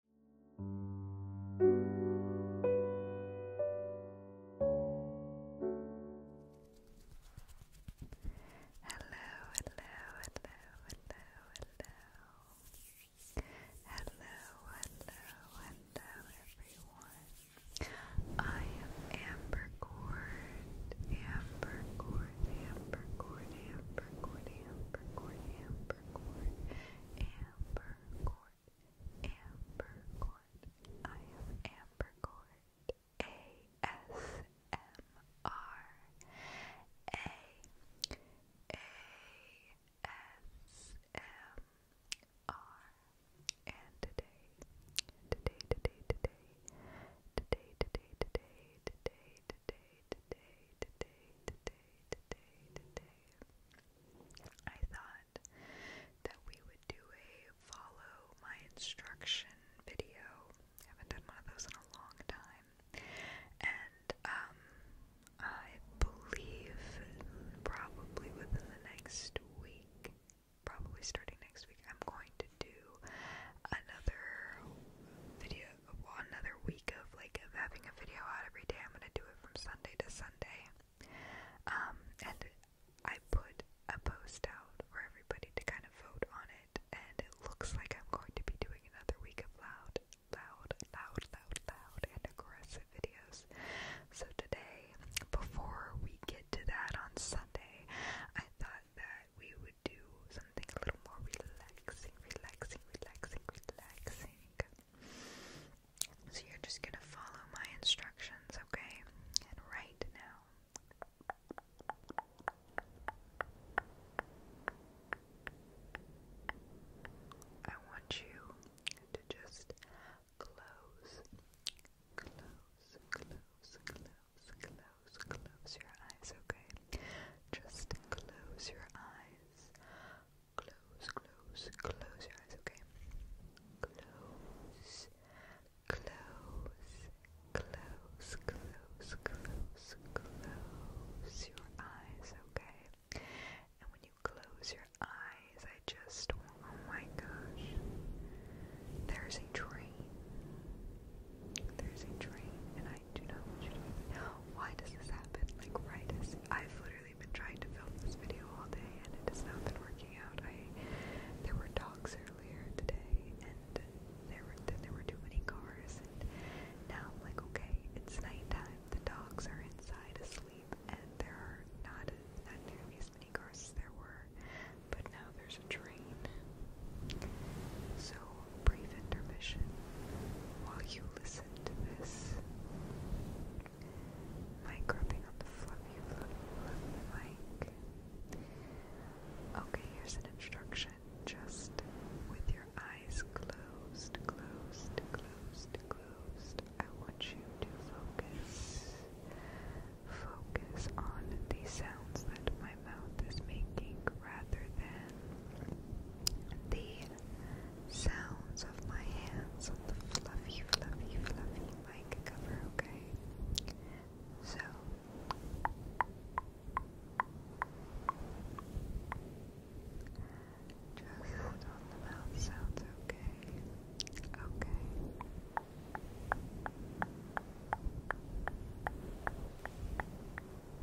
Hello, hello, hello, hello, hello. Hello, hello, hello, everyone. I am Amber Cord, Amber Cord, Amber Cord, Amber Cord, Amber Cord, Amber Cord, amber cord, amber cord. I am amber cord. A S M R A A S M R. And today, today, today, today, today, today, today, today, today, today, today, today, today, today, I thought that we would do a follow my instruction video. I haven't done one of those in a long time. And, um, I believe probably within the next week, probably starting next week, I'm going to do another video another week of like of having a video out every day. I'm gonna do it from Sunday to Sunday. Um, and I put a post out for everybody to kind of vote on it, and it looks like I'm going to be doing another week of loud, loud, loud, loud, loud, and aggressive videos. So today, before we get to that on Sunday, I thought that we would do something a little more relaxed relaxing, relaxing, relaxing, relaxing. So you're just gonna follow my instructions, okay? And right now. I want you to just close, close, close, close, close, close your eyes, okay? Just close your eyes. Close, close, close your eyes, okay? Close, close, close, close, close, close your eyes, okay? And when you close your eyes, I just, oh my gosh, there's a train. There's a train, and why does this happen? Like, right I've literally been trying to film this video all day and it has not been working out. I there were dogs earlier today and there were there were too many cars and now I'm like, okay, it's nighttime. The dogs are inside asleep and there are not as many cars as there were. But now there's a train brief intermission while you listen to this. My gripping on the fluffy, fluffy, fluffy mic. Okay, here's an instruction. Just with your eyes closed, closed, closed, closed, I want you to focus. Focus on the sounds that my mouth is making rather than the sounds of my hands on the fluffy, fluffy, fluffy mic cover, okay? So. Just on the mouth sounds Okay. Okay.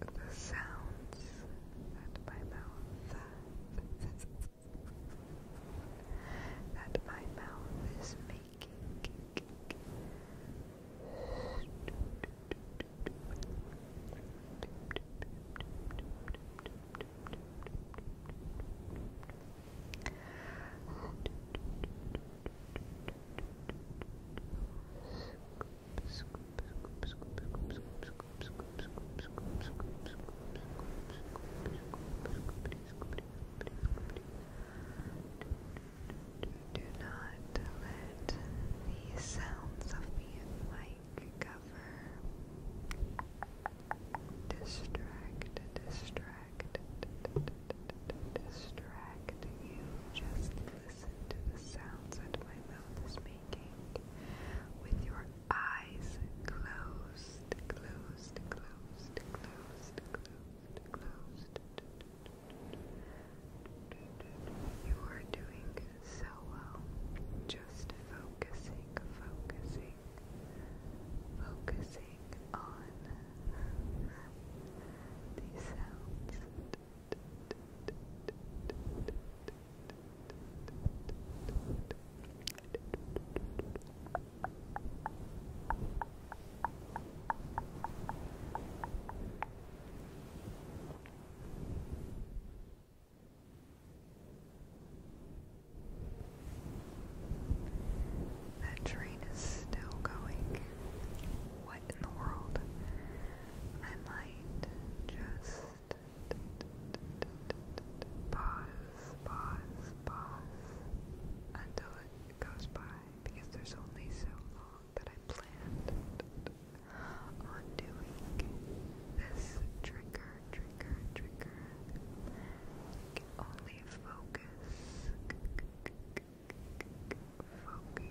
the sounds that my mouth that my mouth is making. Do not let the sounds of the like cover distract, distract, distract you. Just listen listen to the sounds that my mouth is making with your eyes closed, closed, closed, closed, closed, closed. You are doing so well. Just focusing, focusing, focusing on these sounds. That train is still going. What in the world? I might just pause, pause, pause until it goes by because there's only so long that I planned on doing this trigger, trigger, trigger. can only focus focus.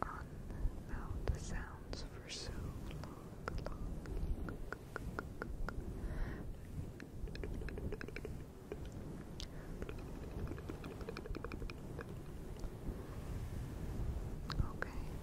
Focus the sounds for so long. Okay.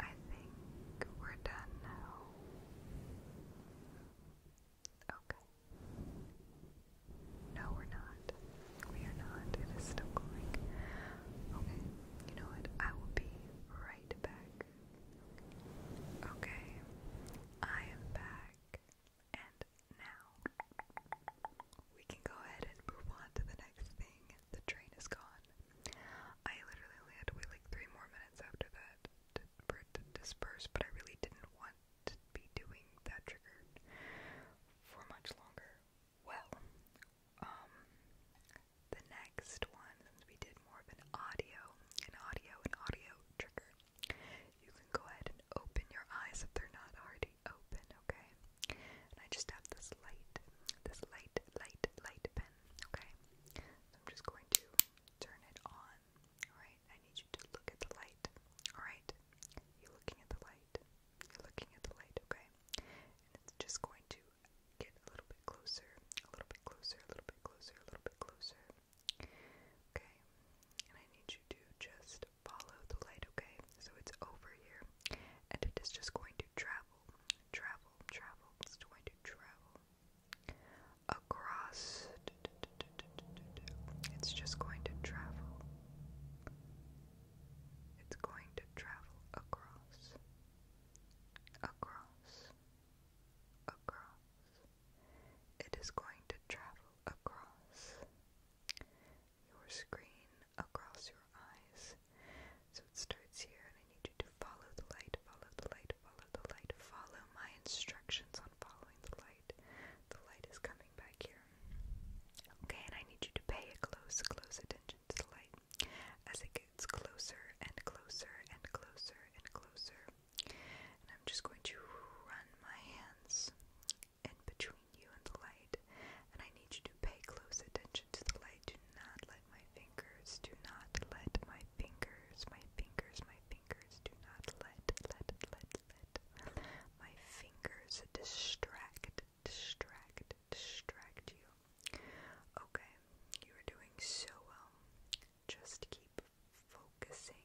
I think we're done now. Okay. No, we're not. We are not. It is still going. Okay. You know what? I will be right back. Okay. I am back. And now we can go ahead and move on to the next thing. The train is gone. I literally only had to wait like three more minutes after that to, for it to disperse, but I really didn't want to be doing that trigger for much longer. Well, um, the next one, since we did more of an audio, an audio, an audio trigger, you can go ahead and open your eyes if they're not already open, okay? And I just have this light, this light, light, light pen, okay? So I'm just going to turn it on, alright? I need you to look at the light, alright? You're looking at the light, you're looking at the light, okay? And it's just going to get a little bit closer, a little bit closer, a little bit closer, a little bit closer. Okay, and I need you to just follow the light, okay? So it's over here, and it is just going to travel, travel, travel. It's going to travel across. It's just going to travel. It's going to travel across, across, across. It is going to travel across your screen across your eyes. So it starts here, and I need you to follow the light, follow the light, follow the light, follow my instructions on following the light. The light is coming back here. Okay, and I need you to pay a close, close attention to the light as it gets closer and closer and closer and closer. And I'm just going to run my hands and between you and the light, and I need you to pay close attention to the light. Do not let my fingers, do not let my fingers, my fingers, my fingers, do not let, let, let, let my fingers distract, distract, distract you. Okay, you are doing so well. Just keep focusing,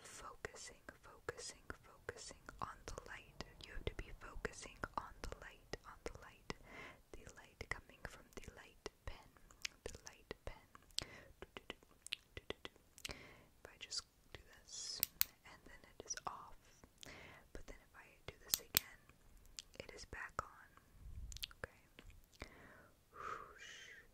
focusing, focusing, focusing on the light. You have to be focusing on the light, on the light, the light coming from the light pen, the light pen. Do, If I just do this and then it is off, but then if I do this again, it is back on. Okay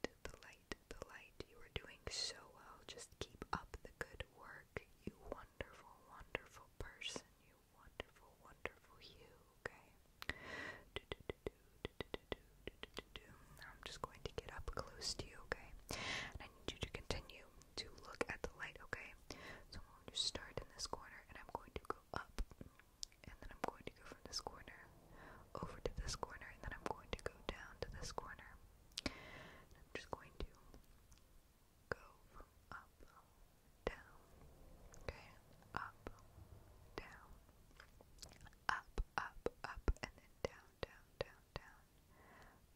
light, the light, the light. You are doing so well. Just keep up the good work. You wonderful, wonderful person. You wonderful, wonderful you, okay? I'm just going to get up close to you, okay? And I need you to continue to look at the light, okay? So I'm going to start in this corner and I'm going to go up. And then I'm going to go from this corner over to this corner, and then I'm going to go down to this corner. I'm just going to go up, down, okay, up, down, up, up, up, and then down, down, down, down,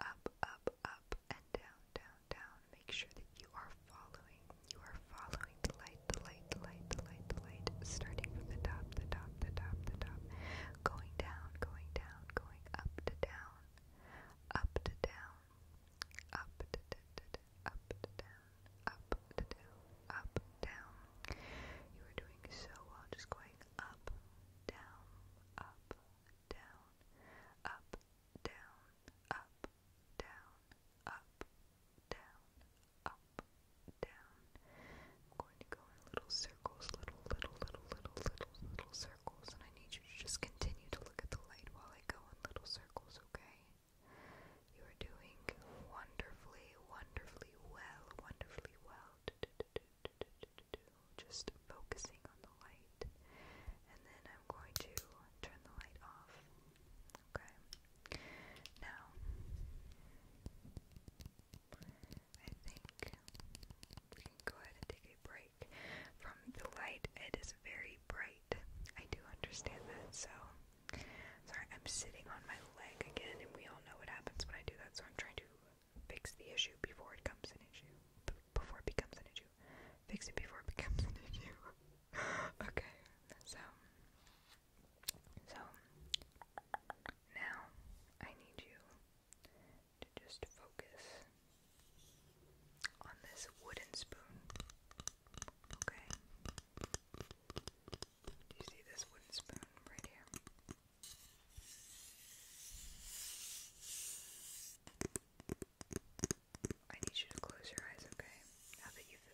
up, up, up, and down, down, down. Make sure that you are following, you are following the light the light, the light, the light, the light, starting from the top, the top, the top, the top, going down, going down, going up to down, up to down, up to down, up to down, up to down. You are doing so well, just going up, down, up, down, up, down, up, down, up, down, up, down. I'm going to go in little circles, little, little, little, little, little, little circles, and I need you to just continue to look at the light while I go in little circles, okay? You are doing wonderfully, wonderfully well, wonderfully well. Just focusing on the light, and then I'm going to turn the light off. Okay. Now, I think we can go ahead and take a break from the light. It is very bright. I do understand that, so. Sorry, I'm sitting on my leg again, and we all know what happens when I do that, so I'm trying to fix the issue before it comes an issue. before it becomes an issue. Fix it before it becomes an issue. okay, so so now I need you to just focus on this wooden spoon. Okay? Do you see this wooden spoon right here? I need you to close your eyes, okay?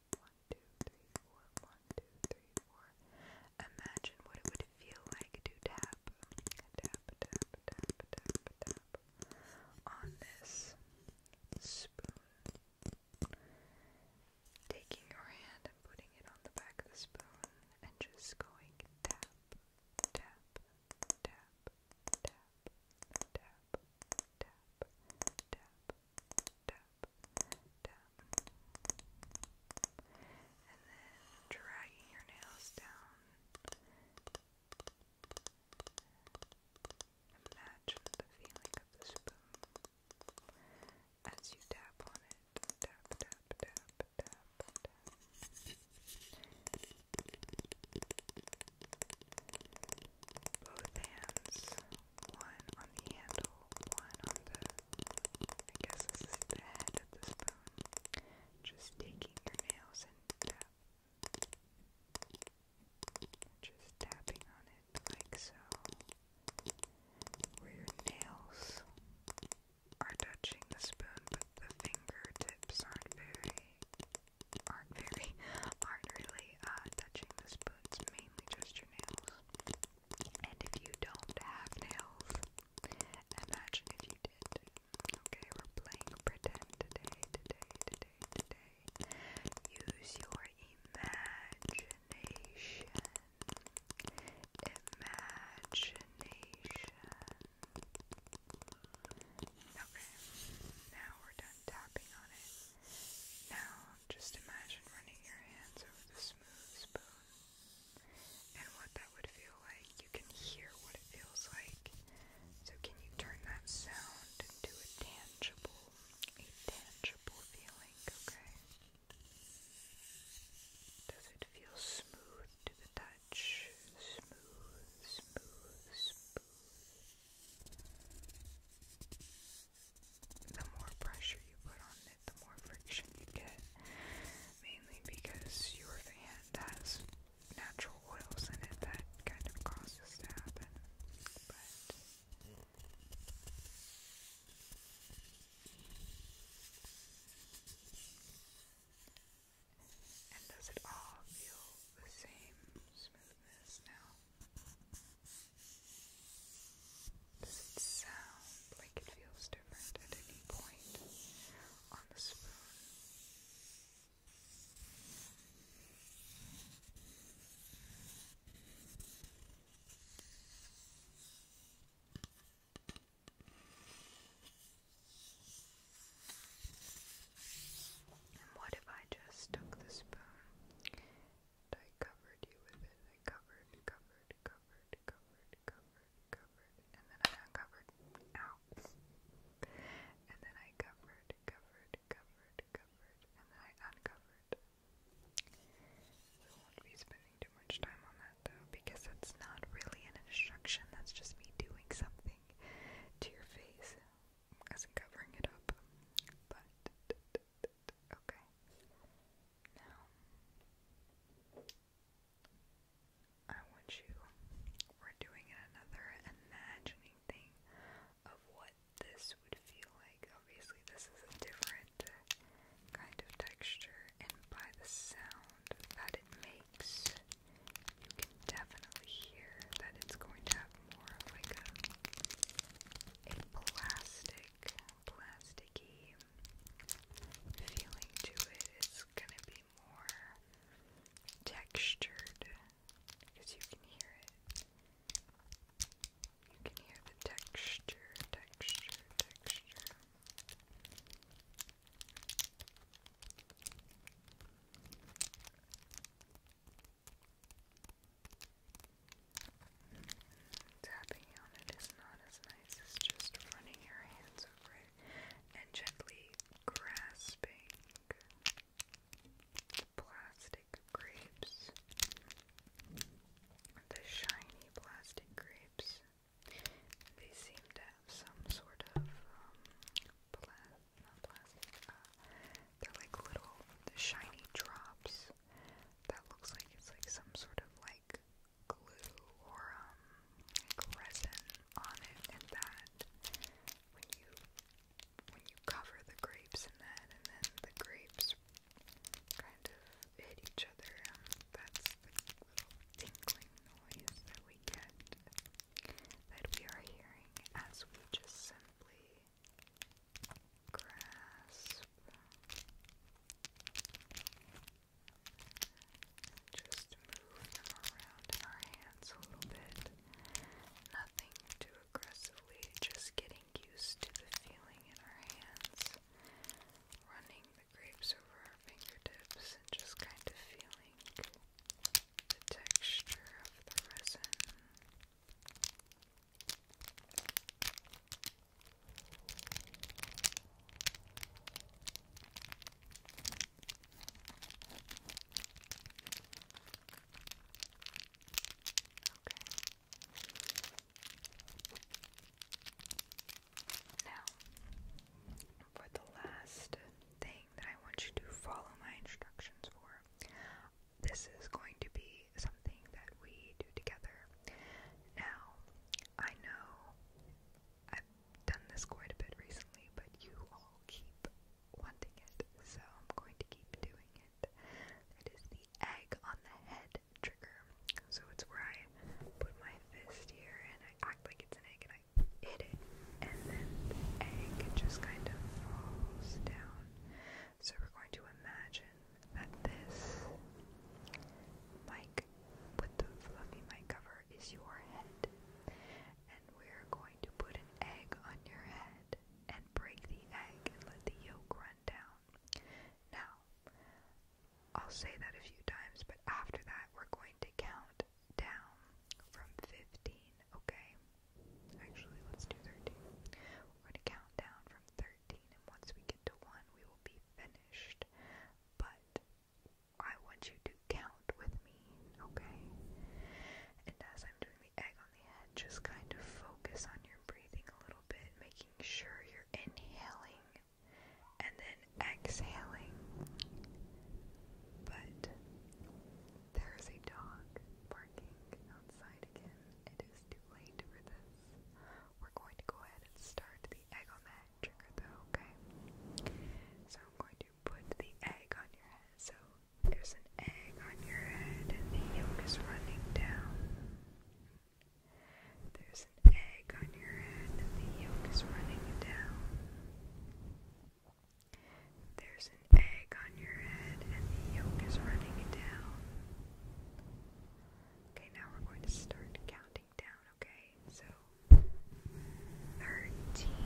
one, two, three, four. One, two, three, four. Imagine what it would feel like to tap, tap, tap, tap, tap, tap on this spoon. Taking your hand and putting it on the back of the spoon and just going tap, tap, tap, tap, tap, tap, tap, tap tap, and then dragging your nails down. Imagine the feeling of the spoon as you tap on it both hands, one on the handle, one on the, I guess this is the head of the spoon, just taking your nails and tap. Just tapping on it like so, where your nails are touching the spoon, but the fingertips aren't very, aren't very, aren't really uh, touching the spoon's just your nails. And if you don't have nails, imagine if you did. Okay, we're playing pretend today, today, today, today. Use your imagination. Imagination. Okay, now we're done tapping on it. Now just imagine running your hands over the smooth spoon and what that would feel like. You can hear what it feels like. So, can you turn that sound into a tangible, a tangible feeling, okay? Does it feel smooth to the touch? Smooth, smooth, smooth the more pressure you put on it, the more friction you get. Mainly because your fan has natural oils in it that kind of causes to But and does it all feel the same smoothness now? Does it sound like it feels different at any point on the spoon? And what if I just took the spoon I covered you with it. I covered, covered, covered, covered, covered, covered, and then I uncovered. Ow! And then I covered, covered, covered, covered, and then I uncovered. We won't be spending too much time on that though, because that's not really an instruction, that's just me doing something to your face as in covering it up. But okay. Now I want you we're doing another imagining thing of what this would feel like. Obviously this is a different kind of texture and by the sound that it makes you can definitely hear that it's going to have more of like a, plastic, plasticky feeling to it. It's gonna be more textured because you can hear it. You can hear the texture, texture, texture. Tapping on it is not as nice as just running your hands over it and gently grasping plastic grapes, the shiny plastic grapes. They seem to have some sort of um, not uh, they're like little shiny drops that looks like it's like some sort of like glue or um like resin on it and that when you when you cover the grapes in that and then the grapes kind of hit each other um, that's the little tinkling noise that we get that we are hearing as we just simply grasp. Just move them around in our hands a little bit. Nothing too aggressively, just getting used to the feeling in our hands. Running the grapes over our fingertips and just kind of feeling the texture of the resin. Now, for the last thing, that I want you to follow my instructions for. This is going to be something that we do together. Now, I know I've done this quite a bit recently, but you all keep wanting it, so I'm going to keep doing it. That is the egg on the head trigger. So it's where I put my fist here and I act like it's an egg and I hit it and then the egg just kind of falls down. So we're going to imagine that this mic with the fluffy mic cover is your head, and we're going to put an egg on your head and break the egg and let the yolk run down. Now, I'll say that a few times, but after that, we're going to count down from 15, okay? Actually, let's do 13. We're going to count down from 13, and once we get to 1, we will be finished. But I want you to count with me, okay? And as I'm doing the egg on the head, just kind of focus on your breathing a little bit, making sure you're inhaling and then exhaling. But there is a dog barking outside again. It is too late for this. We're going to go ahead and start the egg on that trigger though, okay? So I'm going to put the egg on your head. So there's an egg on your head and the yolk is running down. There's an egg on your head and the yolk is running down. There's an egg on your head and the yolk is running down. Okay, now we're going to start counting down, okay? So 13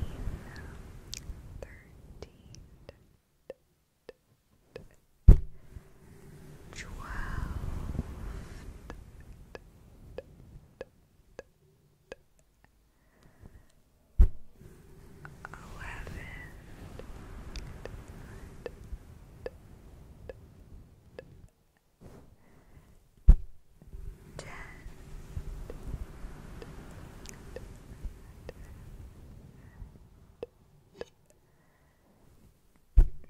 eleven, ten,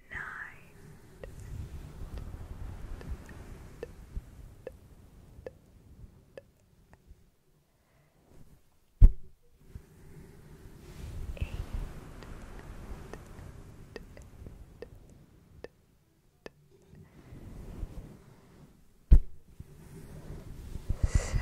nine. Eight, eight, seven, six,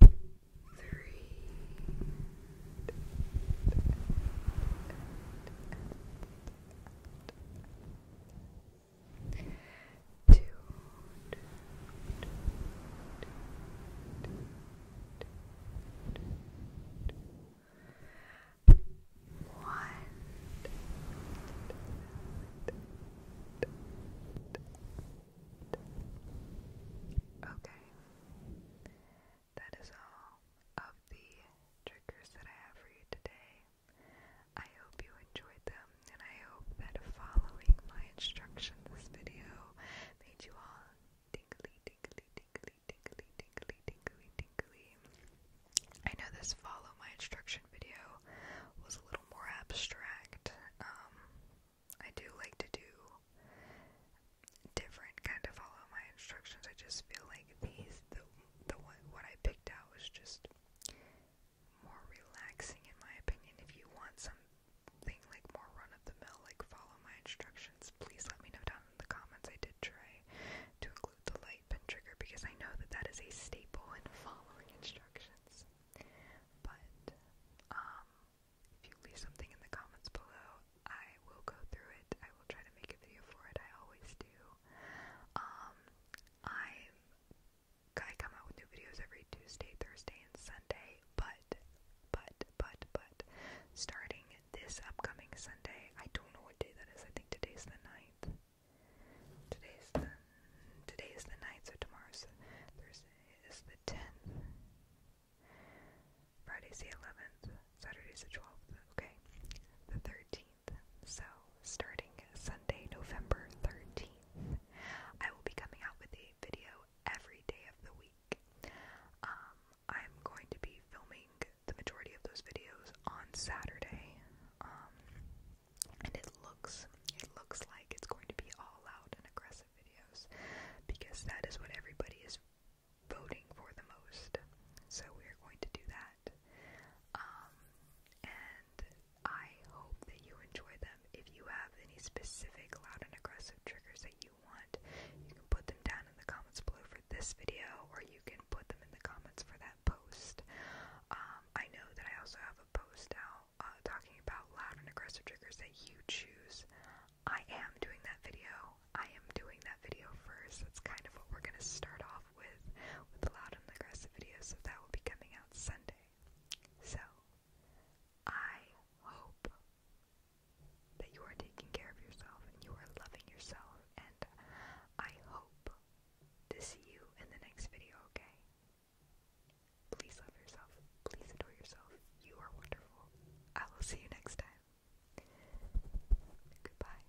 three, two, one. Two, Okay. That is all of the triggers that I have for you today. I hope you enjoyed them, and I hope that following my instructions this video made you all tingly, tingly, tingly, tingly, tingly, tingly, tingly. I know this follow my instruction video was a little more abstract. Um, I do like to do different kind of follow my instructions. I just feel like these the the one what I picked out was just more relaxing in my opinion. If you want something like more run of the mill, like follow my instructions, please let me know down in the comments. I did try to include the light pen trigger because I know that that is a staple in following instructions. But um, if you leave something in the comments below, I will go through it. I will try to make a video for it. I always do. Um, i come out with new videos every Tuesday, Thursday, and Sunday. But, but, but, but, starting this upcoming Sunday, I don't know what day that is. I think today is the ninth. Today's the today is the night. so tomorrow, Thursday is the tenth. Friday's the eleventh. Saturday's the twelfth. Okay, the thirteenth. So starting Sunday, November thirteenth, I will be coming out with a video every day of the week. Um, I'm going to be filming the majority of those videos on Saturday. Um, and it looks it looks like it's going to be all out and aggressive videos because that is what everybody is voting for the most. So we are going to do that. Um, and I hope that you enjoy them. If you have any specific loud and aggressive triggers that you want, you can put them down in the comments below for this video, or you can put them in the comments for that post. Um, I know that I also have a post out uh, talking about loud and aggressive triggers that you choose. I am doing that video. I am doing that video first. That's kind of what we're going to start off with, with the loud and aggressive videos. So that will be coming out Sunday. So, I hope that you are taking care of yourself and you are loving yourself. And I hope to see you in the next video, okay? Please love yourself. Please adore yourself. You are wonderful. I will see you next time. Goodbye.